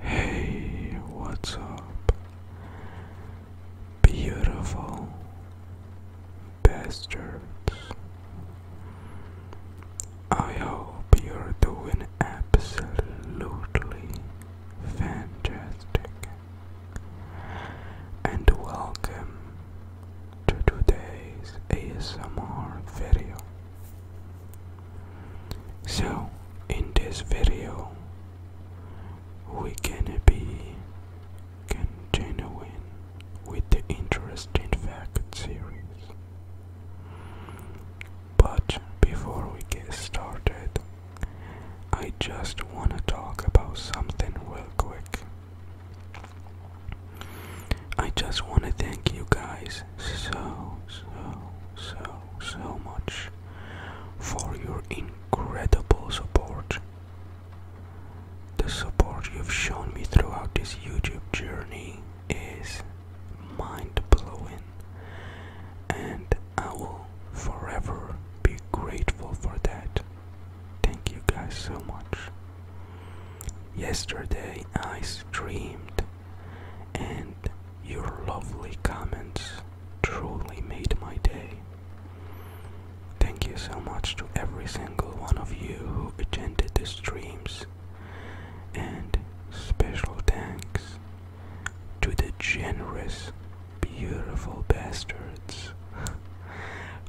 Hey, what's up? Beautiful bastards. I hope you're doing absolutely fantastic. And welcome to today's ASMR video. So, in this video, we're gonna be continuing with the interesting fact series. But before we get started, I just wanna talk about something real quick. I just wanna thank you guys so, so, so, so much for your incredible support. The support you've shown me throughout this YouTube journey is mind blowing, and I will forever be grateful for that. Thank you guys so much. Yesterday I streamed and your lovely comments truly made my day. Thank you so much to every single one of you who attended the streams, and special thanks to the generous, beautiful bastards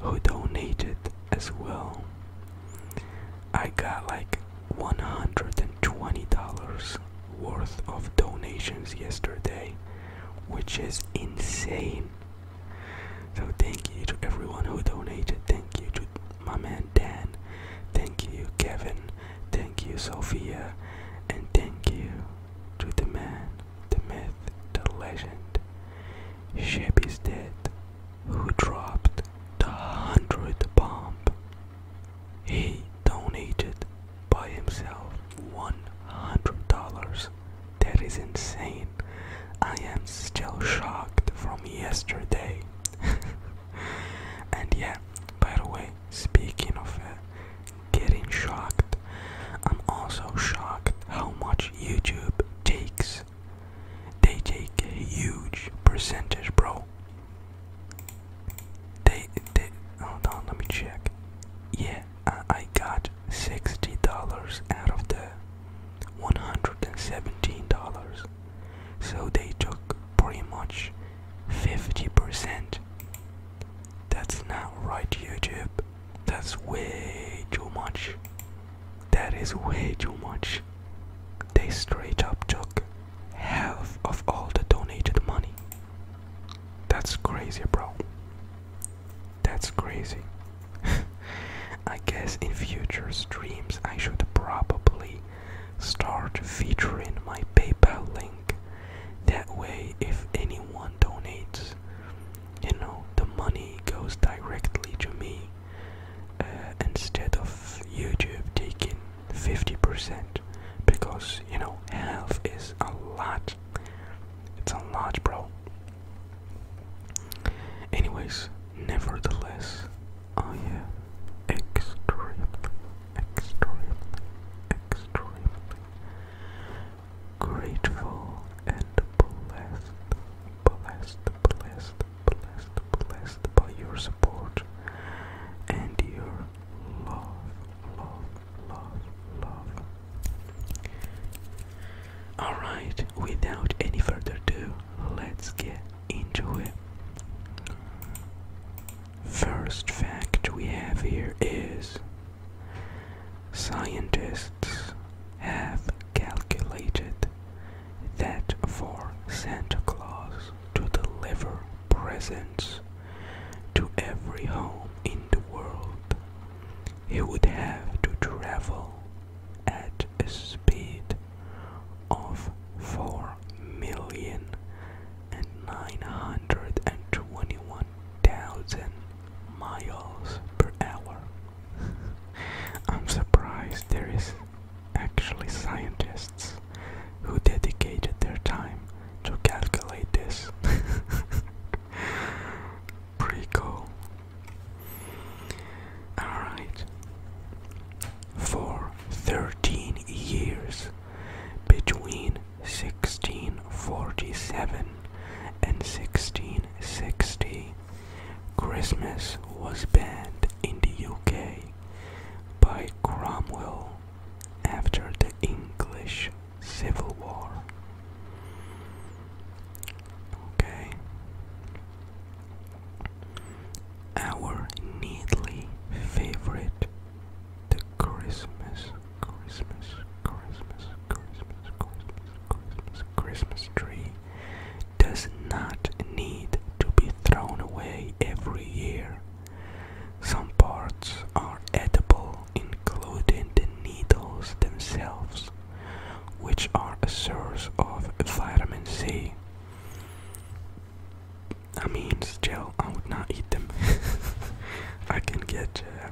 who donated as well. I got like $120 worth of donations yesterday, which is insane. So, thank you to everyone who donated. Thank you to my man Dan. Thank you, Kevin. Thank you, Sophia. And thank you to the man, the myth, the legend, Shep is dead, who dropped the hundred bomb he donated by himself $100. That is insane. I am still shocked from yesterday. and yeah, by the way, speaking of uh, getting shocked, I'm also shocked how much YouTube takes. They take a huge percentage, bro. They, they, hold on, let me check. Yeah, I, got $60 out of the $117. So they took pretty much 50%. That's not right, YouTube. That's way too much. That is way too much. They straight up took half of all the donated money. That's crazy, bro. That's crazy. I guess in future streams I should probably start featuring my PayPal link. That way, if anyone donates, you know, the money goes directly to me uh, instead of YouTube taking 50% because you know health is a lot it's a lot bro anyways nevertheless i am extremely extremely extremely grateful and blessed blessed blessed blessed blessed by your support and your love Alright, without any further ado, let's get into it. First fact we have here is scientists have calculated that for Santa Claus to deliver presents to every home in the world, he would have to travel at a speed of 4 million and 921,000 miles per hour. I'm surprised there is actually scientists who dedicated their time to calculate this. Pretty Alright. For 13 years, between 1647 and 1660, Christmas was banned in the UK by Cromwell after the English Civil War. Okay. Our neatly favorite, the Christmas, Christmas, Christmas, Christmas, Christmas, Christmas, Christmas tree does not need to be thrown away every year. Some parts are edible, including the needles themselves, which are a source of vitamin C. I mean, still, I would not eat them. I can get uh,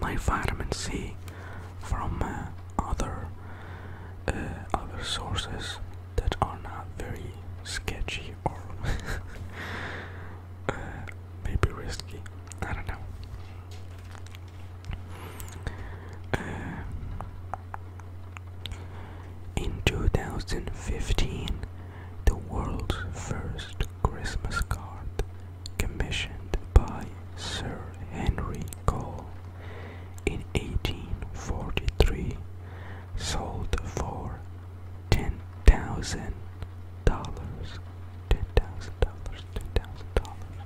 my vitamin C from uh, other uh, other sources that are not very sketchy or uh, maybe risky. I don't know. Uh, in 2015, the world's first Christmas card, commissioned by Sir Henry Cole in 1843, sold for ten thousand dollars. Ten thousand dollars. Ten thousand dollars.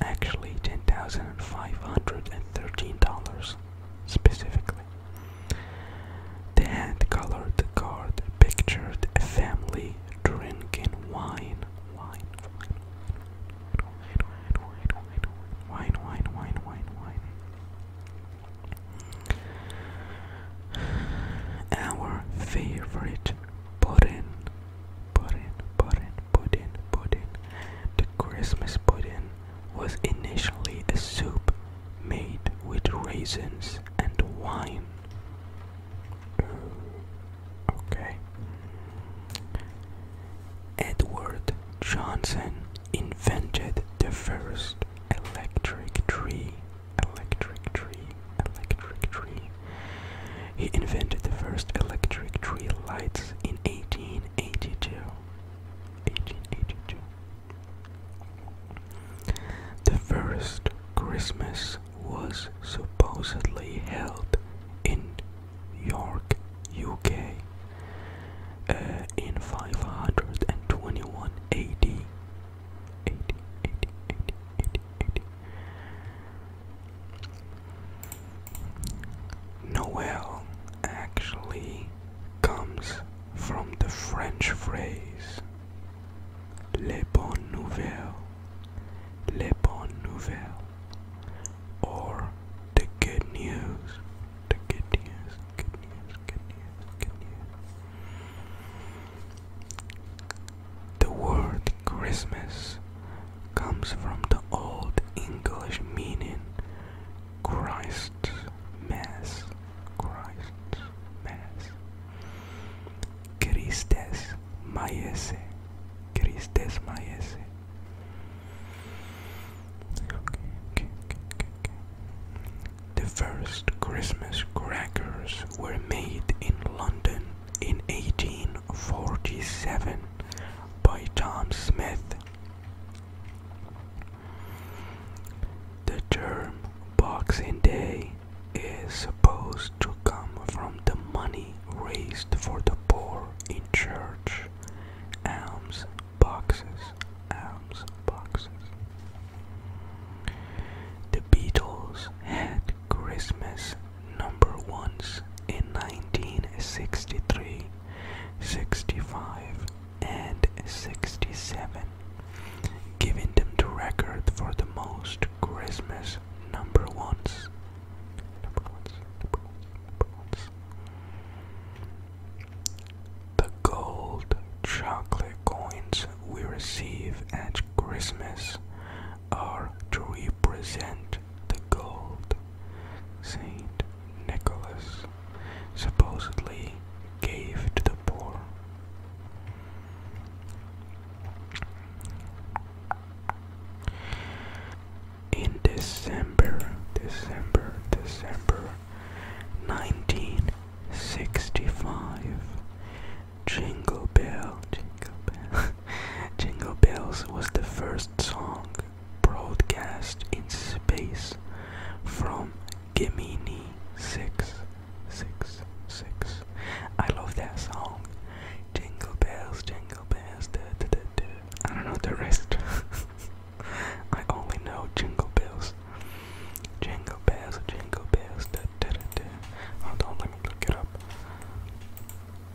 Actually, ten thousand five hundred and thirteen dollars specifically. They had colored card, pictured a family drinking wine, wine, wine, wine, wine, wine, wine, wine, wine, wine, our favorite pudding, pudding, pudding, pudding, pudding. The Christmas pudding was initially a soup made with raisins and wine. Okay. Edward Johnson invented the first electric tree, electric tree, electric tree. He invented the first electric tree lights in 1882. 1882. The first Christmas was supposedly held in York, UK. Uh, in 521 AD. 80, 80, 80, Noel actually comes from the French phrase les bonnes nouvelles, les bonnes nouvelles, or the good news, the good news, good news, good news, good news. The word Christmas comes from the Old English meaning Christ Mass. Christ Mass. Christes Maiese. Christes Maiese. The first Christmas crackers were made in London in 1847 by Tom Smith. The term Boxing Day is supposed to come from the money raised for the poor in church alms boxes. The Beatles had Christmas number ones in 1963, 65, and 67, giving them the record for the most Christmas number ones. The gold chocolate coins we receive at Christmas are to represent the gold Saint Nicholas supposedly gave to the poor. In December, December, December 19 65. Jingle Bell, Jingle Bell. Jingle Bells was the first song broadcast in space from Gemini 6. 6, 6. I love that song. Jingle Bells, Jingle Bells, da da da I don't know the rest. I only know Jingle Bells. Jingle bells, jingle bells, da da da da. Hold let me look it up.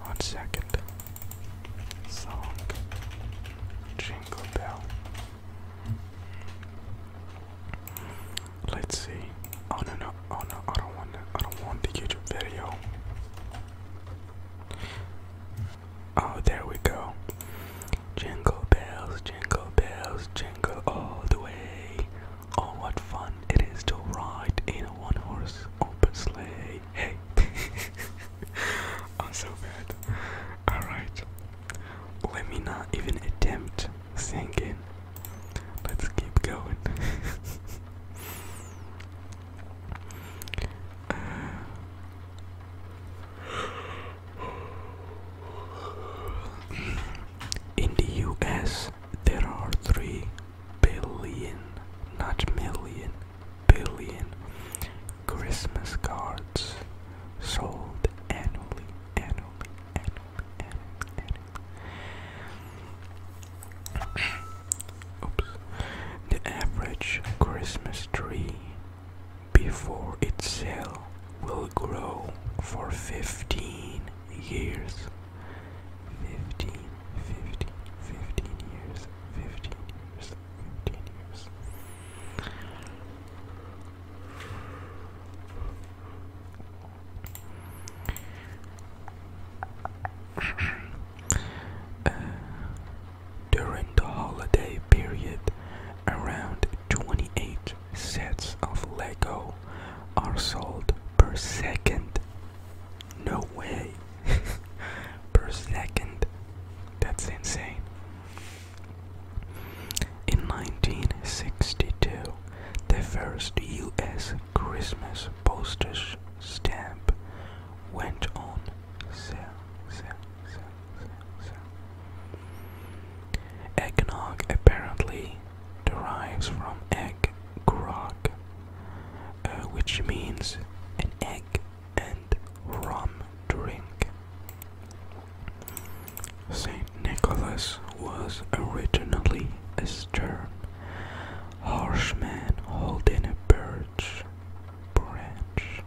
One second. Song. Jingle bell. Let's see. Oh no no oh no I don't want I don't want the YouTube video. Oh there we go. Jingle bells, jingle bells jingle all the way. Oh, what fun it is to ride in a one horse open sleigh. Hey, I'm so bad. Alright, let me not even attempt singing. Let's keep going. Uh, in the US, there are 3 billion, not million, billion Christmas cards sold annually, annually, annually, annually, Oops. The average Christmas tree before its sold will grow for 15 years. 15, 15, 15 years, 15 years, 15 years. Uh, during the holiday period, around 28 sets of Lego are sold per second. No way. per second. That's insane. In 1962, the first US Christmas postage stamp went on sale. sale, apparently derives from egg grog, uh, which means an egg and rum drink. Saint Nicholas was originally a stern, harsh man holding a birch branch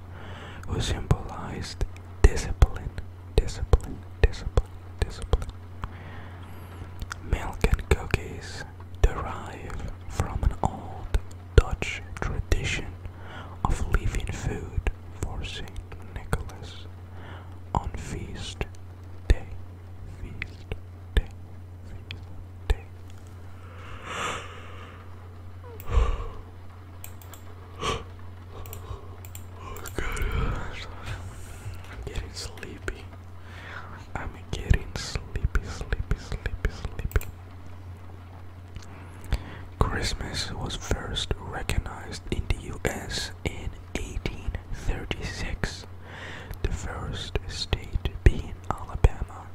who symbolized discipline discipline, discipline, discipline. Milk and cookies derive from an old Dutch tradition of leaving food for St. Nicholas on feast day. Feast day. Feast day. I'm getting sleepy. I'm getting sleepy, sleepy, sleepy, sleepy. Christmas was first recognized in the US in 1836, the first state being Alabama,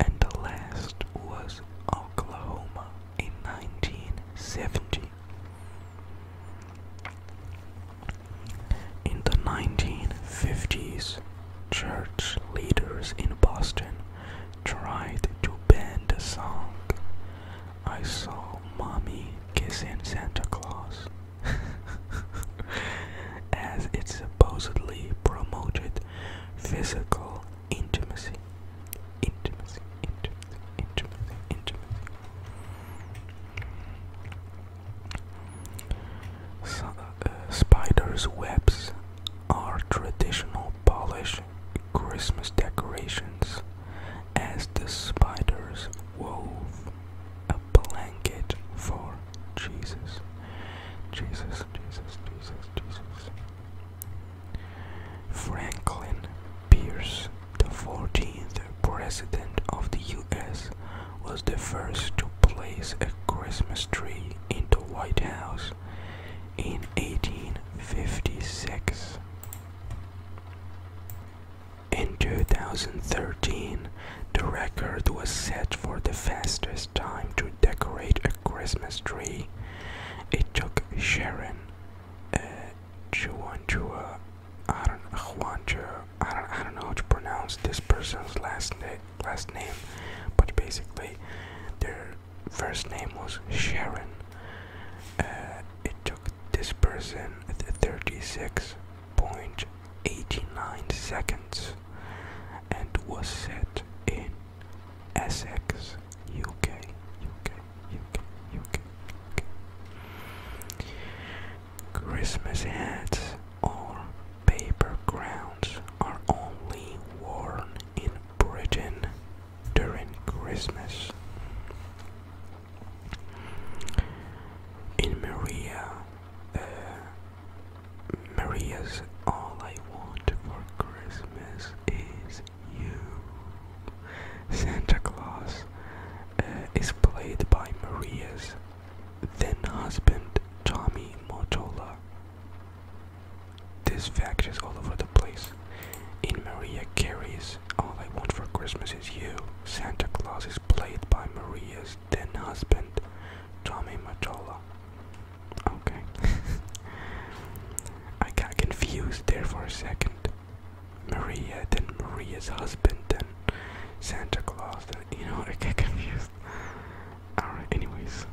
and the last was Oklahoma in 1970. In the 1950s, church leaders in Boston tried to ban the song. I saw mommy kissing Santa Claus. as it supposedly promoted physical intimacy. Uh, spiders' webs are traditional Polish Christmas decorations, as the spiders wove a blanket for Jesus. Jesus, Jesus, Jesus, Jesus. Franklin Pierce, the 14th President of the US, was the first to place a Christmas tree in the White House in 1856. In 2013, the record was set for the fastest time to decorate a Christmas tree. It took Sharon uh, Chuanchua I don't know, I don't, I don't know how to pronounce this person's last name, last name, but basically, their first name was Sharon. Uh, it took this person 36.89 seconds, and was set in Essex, UK. Christmas hats or paper crowns are only worn in Britain during Christmas. In Maria, uh, Maria's All I Want for Christmas is You. Santa Claus uh, is played by Maria's then husband Tommy Motola. This fact is all over the place. In Maria Carey's All I Want for Christmas Is You, Santa Claus is played by Maria's then husband Tommy Motola. Okay. I got confused there for a second. Maria, then Maria's husband, then Santa Claus, then you know, I get confused. Alright, anyways.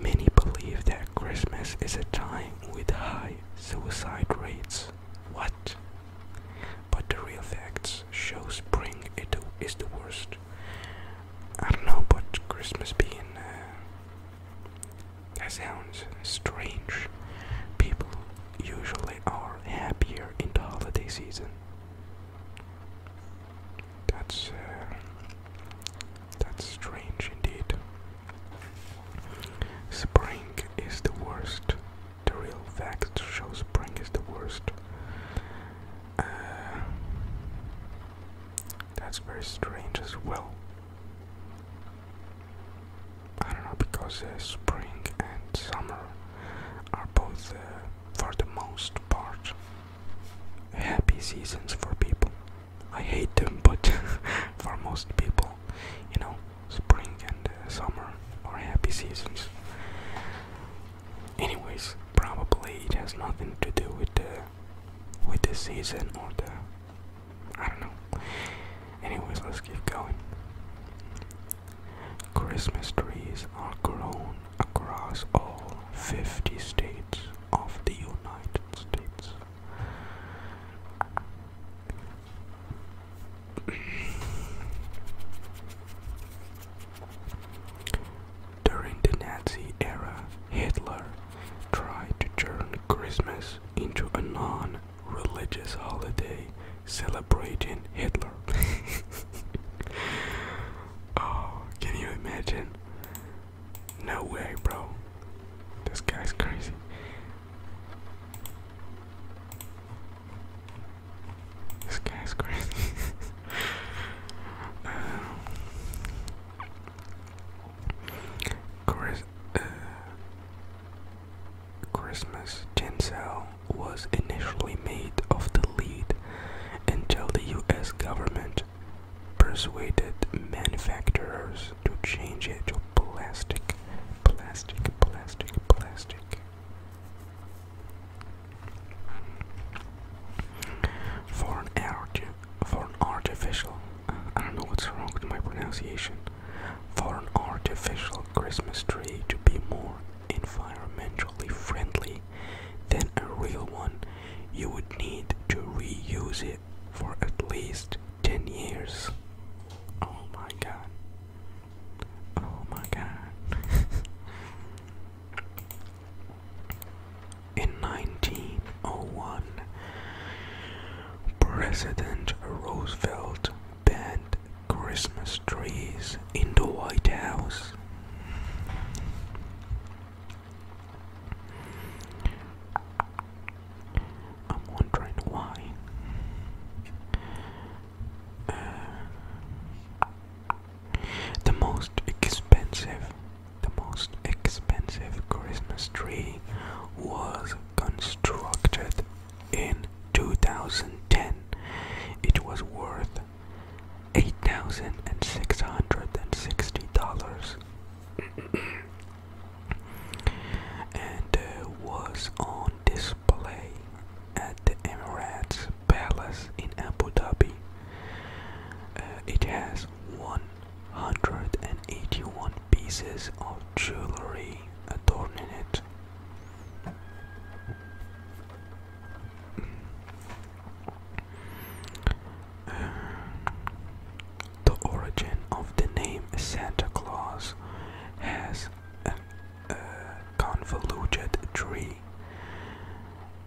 Many believe that Christmas is a time with high suicide rates. What? But the real facts show spring it is the worst. I don't know, but Christmas being uh, that sounds strange. People usually are happier in the holiday season. That's uh, that's strange indeed. Spring is the worst. The real facts show spring is the worst. Uh, that's very strange as well. I don't know because uh, spring and summer are both, uh, for the most part, happy seasons for people. I hate them, but for most people, you know, spring and uh, summer are happy seasons. Anyways, probably it has nothing to do with the with the season or the I don't know. Anyways, let's keep going. Christmas trees are grown across all 50 states of the United States. During the Nazi era, Hitler tried to turn Christmas into a non religious holiday celebrating Hitler. oh, can you imagine? No way, bro. This guy's crazy. This guy's crazy. um, uh, Christmas tin cell was initially made of the lead until the US government persuaded manufacturers to change it to plastic, plastic, plastic, plastic. For an art, for an artificial, I don't know what's wrong with my pronunciation. For an artificial Christmas tree to be more environmentally friendly than a real one, you would need to reuse it for at least 10 years. Oh my god. Oh my god. In 1901, President Roosevelt banned Christmas trees in the White House. I'm wondering why. Uh, the most expensive, the most expensive Christmas tree was constructed in 2010 it was worth $8,660 and uh, was on display at the Emirates Palace in Abu Dhabi. Uh, it has 181 pieces of jewelry adorning it the origin of the name Santa Claus has a, uh, a uh, convoluted tree.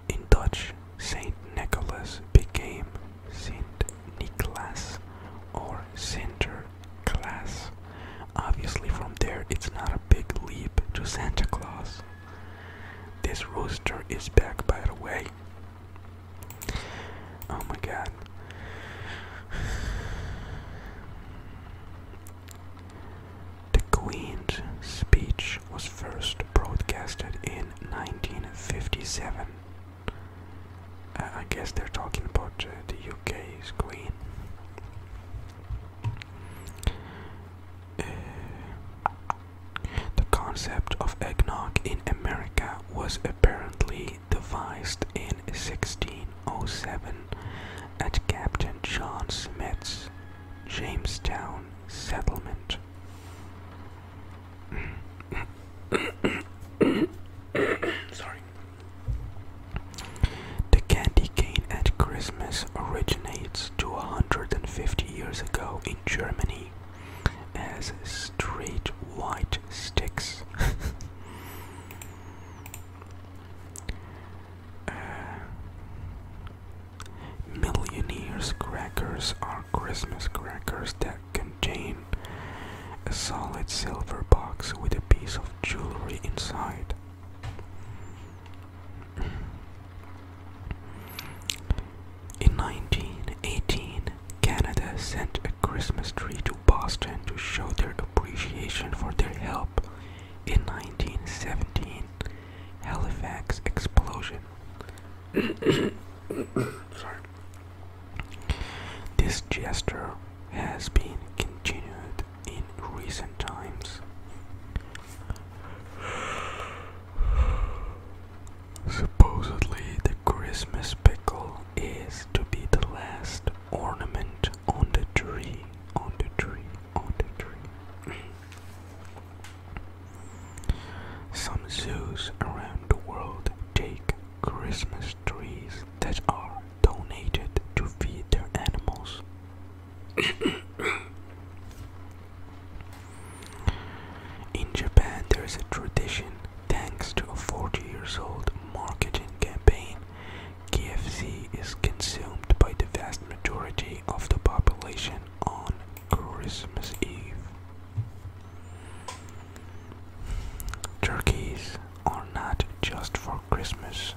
In Dutch, Saint Nicholas became Saint Nicholas or Sinterklaas Obviously, from there, it's not a big leap to Santa Claus. This rooster is back, by the way. Oh my god. The Queen's speech was first broadcasted in 1957. I guess they're talking about uh, the UK's Queen. Eh, the concept of eggnog in America was apparently devised in 1607 at Captain John Smith's Jamestown settlement. Sorry. The candy cane at Christmas originates to 150 years ago in Germany as straight white sticks. Uh, millionaires' crackers are Christmas crackers that contain a solid silver box with a piece of jewelry inside. In 1918, Canada sent a Christmas tree to Boston to show their appreciation for their help in 1917 Halifax explosion. Sorry. This gesture has been continued in recent times. Supposedly, the Christmas pickle is to be the last ornament on the tree, on the tree, on the tree. Some zoos around the world take Christmas trees that are donated to feed their animals. In Japan, there is a tradition, thanks to a 40 years old marketing campaign, KFC is consumed by the vast majority of the population on Christmas Eve. Turkeys are not just for Christmas,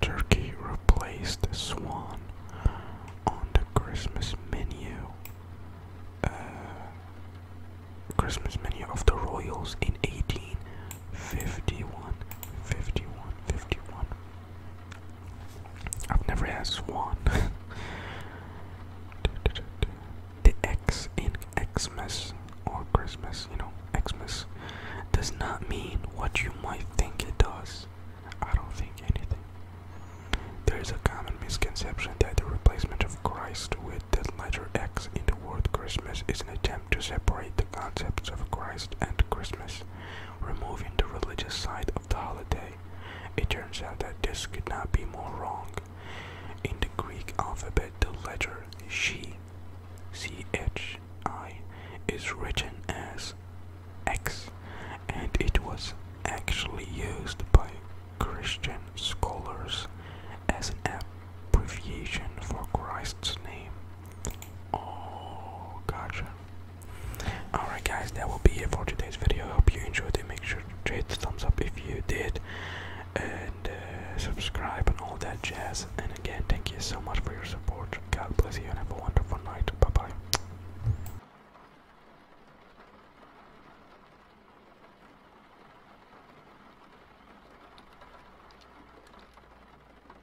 Turkey replaced swan on the Christmas menu. Uh, Christmas menu of the Royals in 18 51, 51, 51. I've never had swan. the X in Xmas or Christmas, you know, Xmas, does not mean what you might think it does. I don't think anything. There is a common misconception that the replacement of Christ with the letter X in toward Christmas is an attempt to separate the concepts of Christ and Christmas, removing the religious side of the holiday. It turns out that this could not be more wrong. In the Greek alphabet, the letter she, C-H-I, is written as X, and it was actually used by Christian scholars as an abbreviation for Christ's name. Oh, gotcha. Alright, guys, that will be it for today's video. I hope you enjoyed it. Make sure to hit the thumbs up if you did, and uh, subscribe and all that jazz. And again, thank you so much for your support. God bless you and have a wonderful night. Bye bye.